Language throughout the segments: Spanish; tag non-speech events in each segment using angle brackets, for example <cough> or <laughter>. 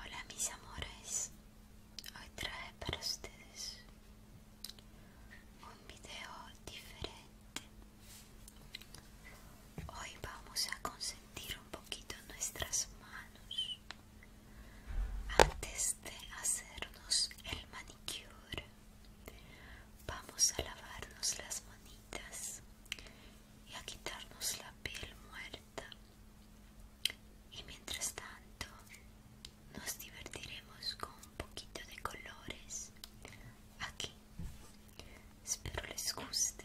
Hola mis amores, hoy trae para ustedes un video diferente. Hoy vamos a consentir un poquito nuestras manos antes de hacernos el manicure. Vamos a lavarnos las manitas y a quitarnos la piel muerta. Y mientras tanto, nos divertiremos con un poquito de colores aquí. Espero les guste.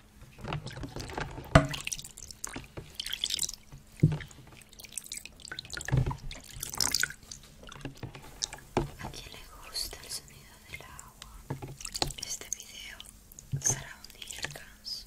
¿A quién le gusta el sonido del agua? Este video será un descanso.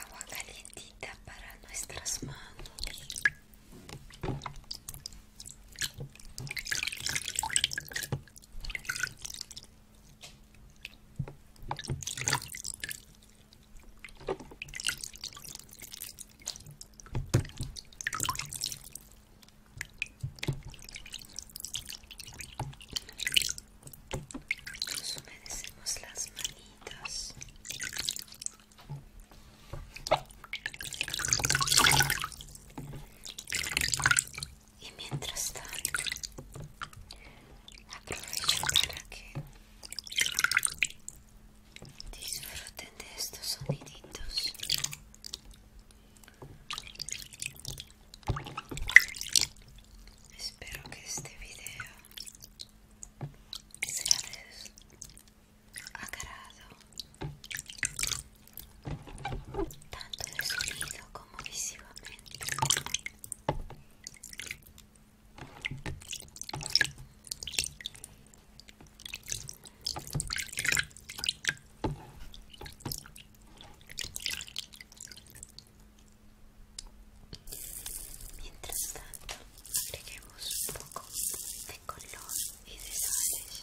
Agua calientita para nuestras manos. Nos humedecemos las manitas y mientras tanto aprovecho para que disfruten de estos soniditos espero que este video sea de agrado tanto de sonido como visivamente Mientras tanto, agreguemos un poco de color y de sales.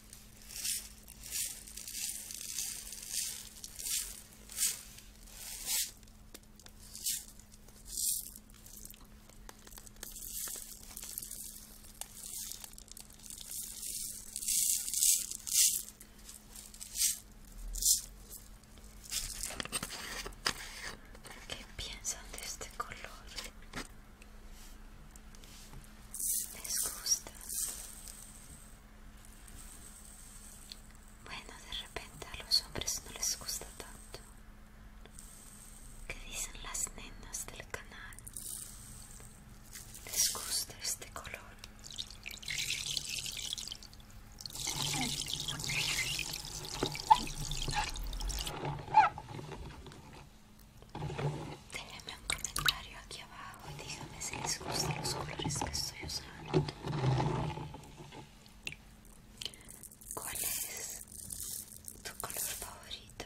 ¿Qué piensan de este color? ¿Les gusta? Bueno, de repente a los hombres no les gusta tanto. que dicen las nenas del canal? ¿Les gusta este color? Déjeme un comentario aquí abajo y díganme si les gustan los colores que estoy usando. ¿Cuál es tu color favorito?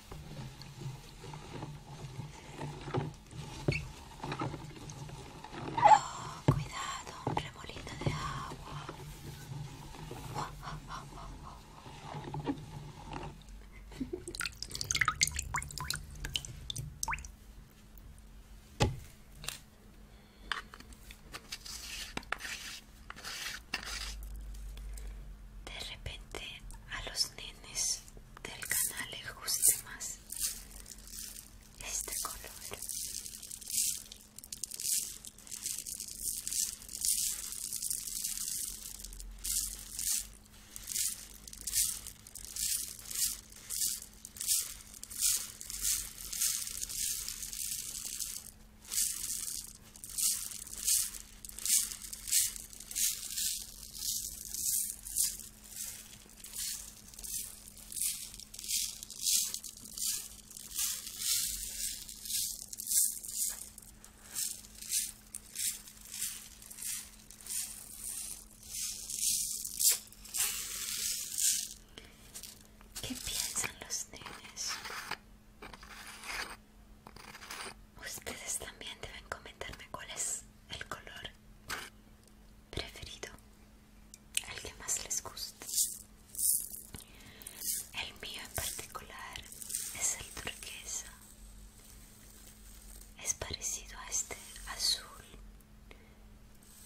cuidado, remolino de agua. <laughs> De repente a los nenes del canal le guste más este color ¿Qué piensan los nenes? Ustedes también deben comentarme cuál es el color preferido, el que más les gusta. El mío en particular es el turquesa. Es parecido a este azul,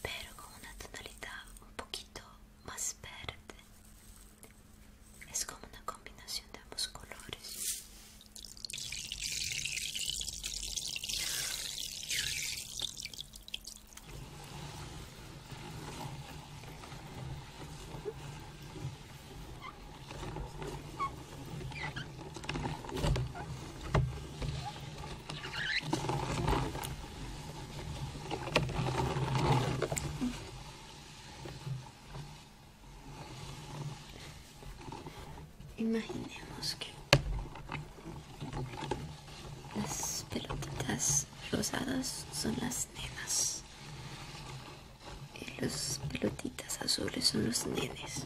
pero con una tonalidad un poquito más verde es como una combinación de ambos colores Imaginemos que las pelotitas rosadas son las nenas y las pelotitas azules son los nenes.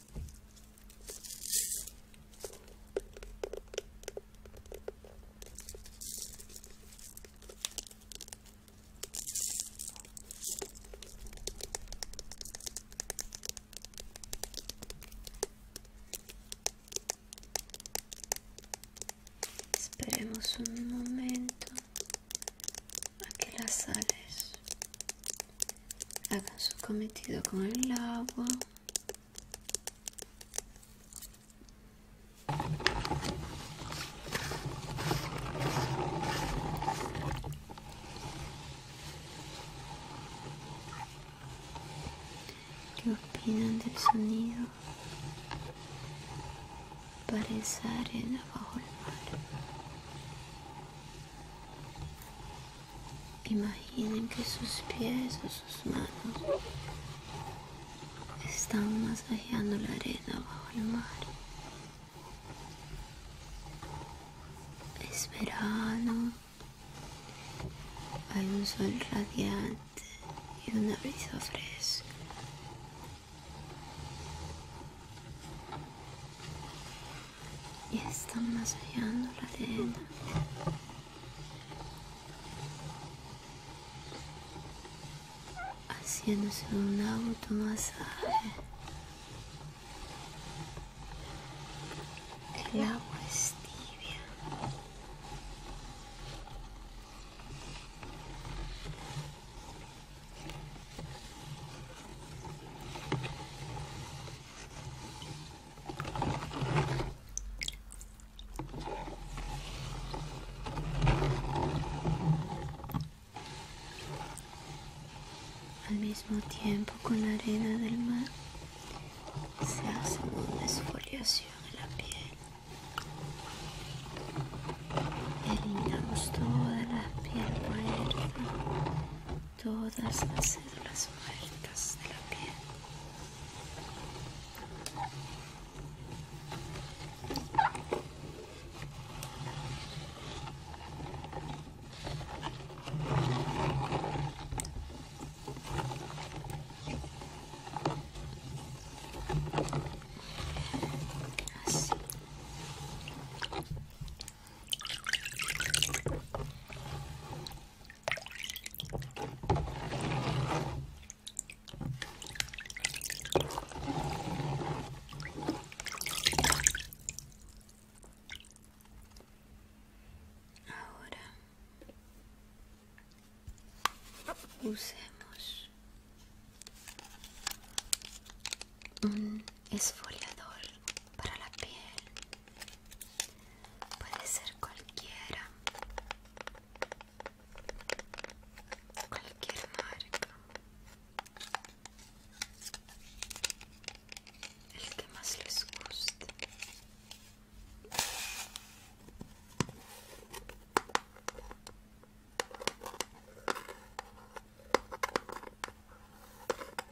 Esperemos un momento a que las sales hagan su cometido con el agua. ¿Qué opinan del sonido? esa arena bajo el mar. Imaginen que sus pies o sus manos están masajeando la arena bajo el mar. Es verano, hay un sol radiante y una brisa fresca y están masajeando la arena. Haciéndose un automasaje. El agua es tibia. Al mismo tiempo con la arena del mar se hace una esfoliación en la piel. Eliminamos toda la piel muerta todas las células muertas de la piel. Así. Ahora usemos un esfoliador para la piel puede ser cualquiera cualquier marca el que más les guste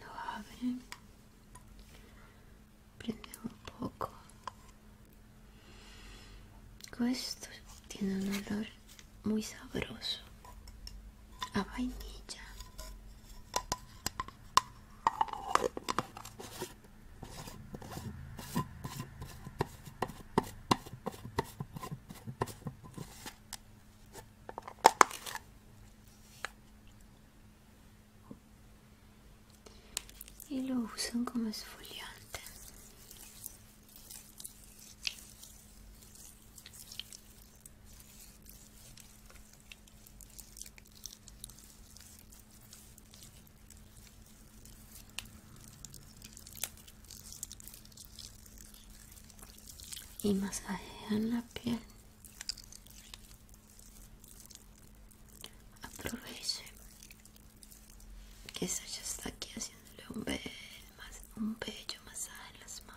lo abre, prende un poco. Esto tiene un olor muy sabroso a vainilla y lo usan como esfoliante y masajean la piel. Aproveche que se está aquí haciéndole un bello masaje en las manos.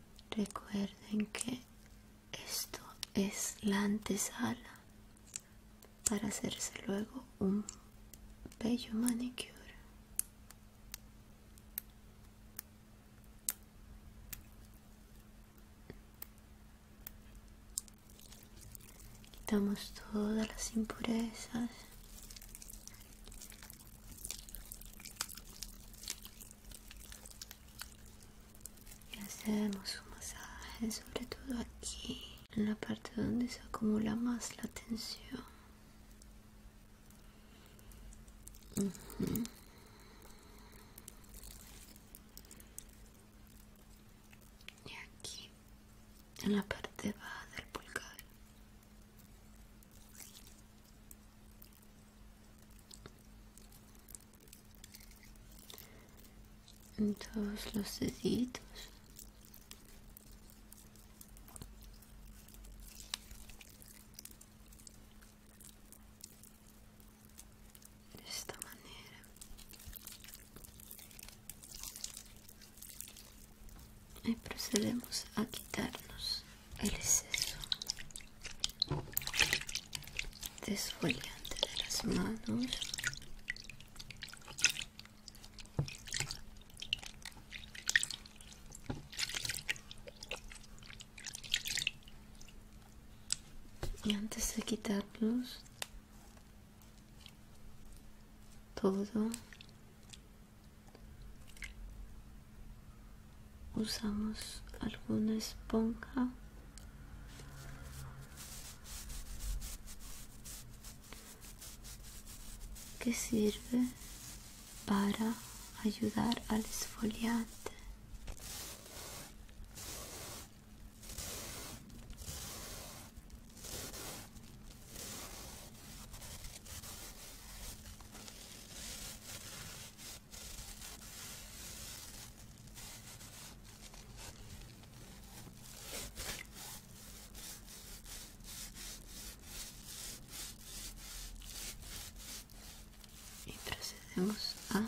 Recuerden que esto es la antesala para hacerse luego un bello manicure. Quitamos todas las impurezas y hacemos un masaje sobre todo aquí en la parte donde se acumula más la tensión y aquí en la parte baja del pulgar en todos los deditos de esta manera y procedemos a quitarnos el exceso desfoliante de las manos y antes de quitarlos todo usamos alguna esponja que sirve para ayudar al esfoliante y procedemos a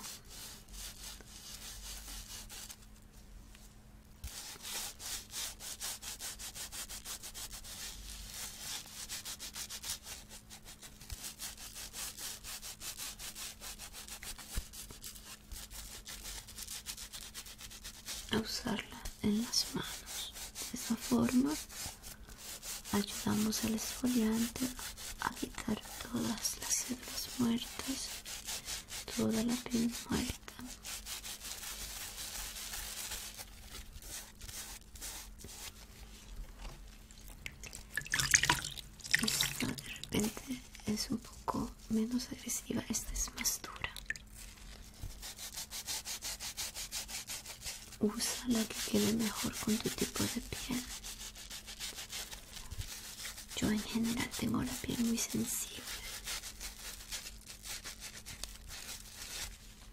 a usarla en las manos de esta forma ayudamos al esfoliante a quitar todas las células muertas toda la piel muerta esta de repente es un poco menos agresiva, esta es más dura. Usa la que quede mejor con tu tipo de piel. Yo en general tengo la piel muy sensible.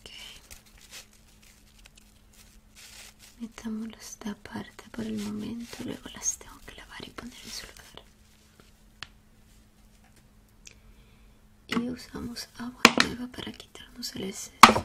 Okay. Metámoslo esta aparte por el momento, luego las tengo que lavar y poner en su lugar. Y usamos agua nueva para quitarnos el exceso.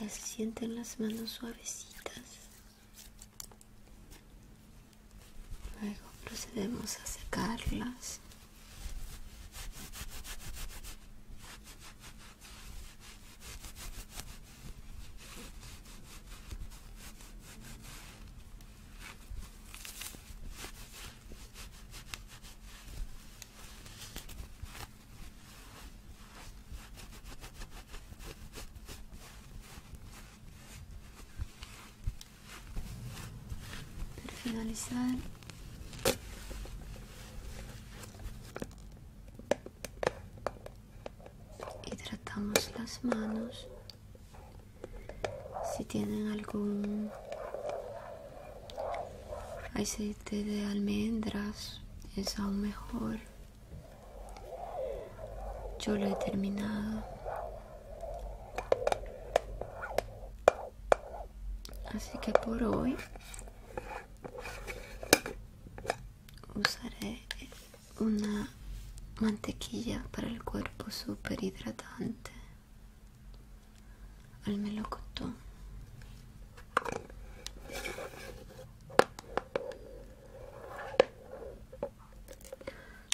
Ya se sienten las manos suavecitas. Luego procedemos a secarlas. Para finalizar, hidratamos las manos si tienen algún aceite de almendras es aún mejor yo lo he terminado así que por hoy usaré una mantequilla para el cuerpo super hidratante al melocotón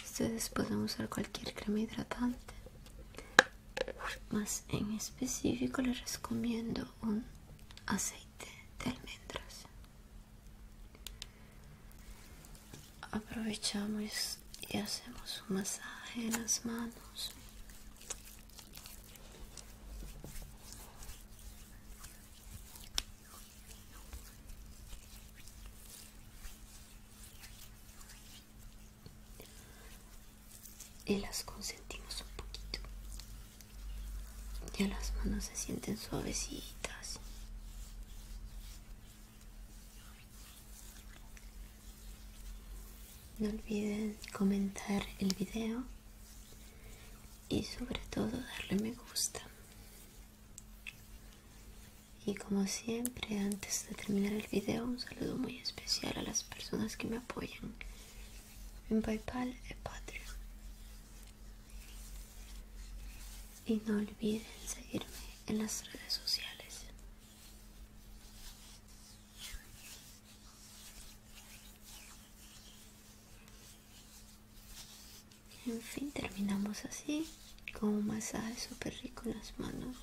ustedes pueden usar cualquier crema hidratante más en específico les recomiendo un aceite de almendras aprovechamos y hacemos un masaje en las manos y las consentimos un poquito ya las manos se sienten suavecitas no olviden comentar el video y sobre todo darle me gusta. Y como siempre, antes de terminar el video, un saludo muy especial a las personas que me apoyan en PayPal y Patreon y no olviden seguirme en las redes sociales. En fin, terminamos así con un masaje súper rico en las manos,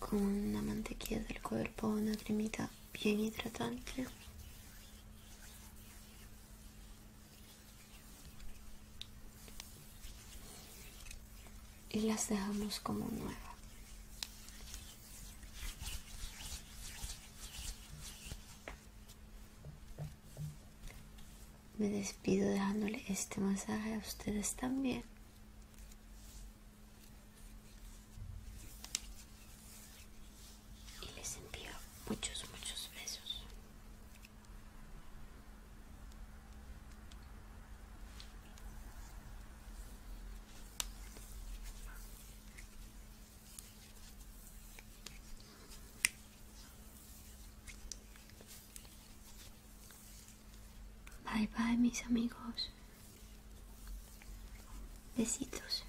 con una mantequilla del cuerpo, una cremita bien hidratante y las dejamos como nueva. Me despido dejándole este masaje a ustedes también. Y les envío muchos, muchos besos. Bye bye mis amigos. Besitos.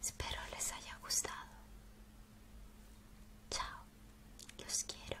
Espero les haya gustado. Chao, los quiero.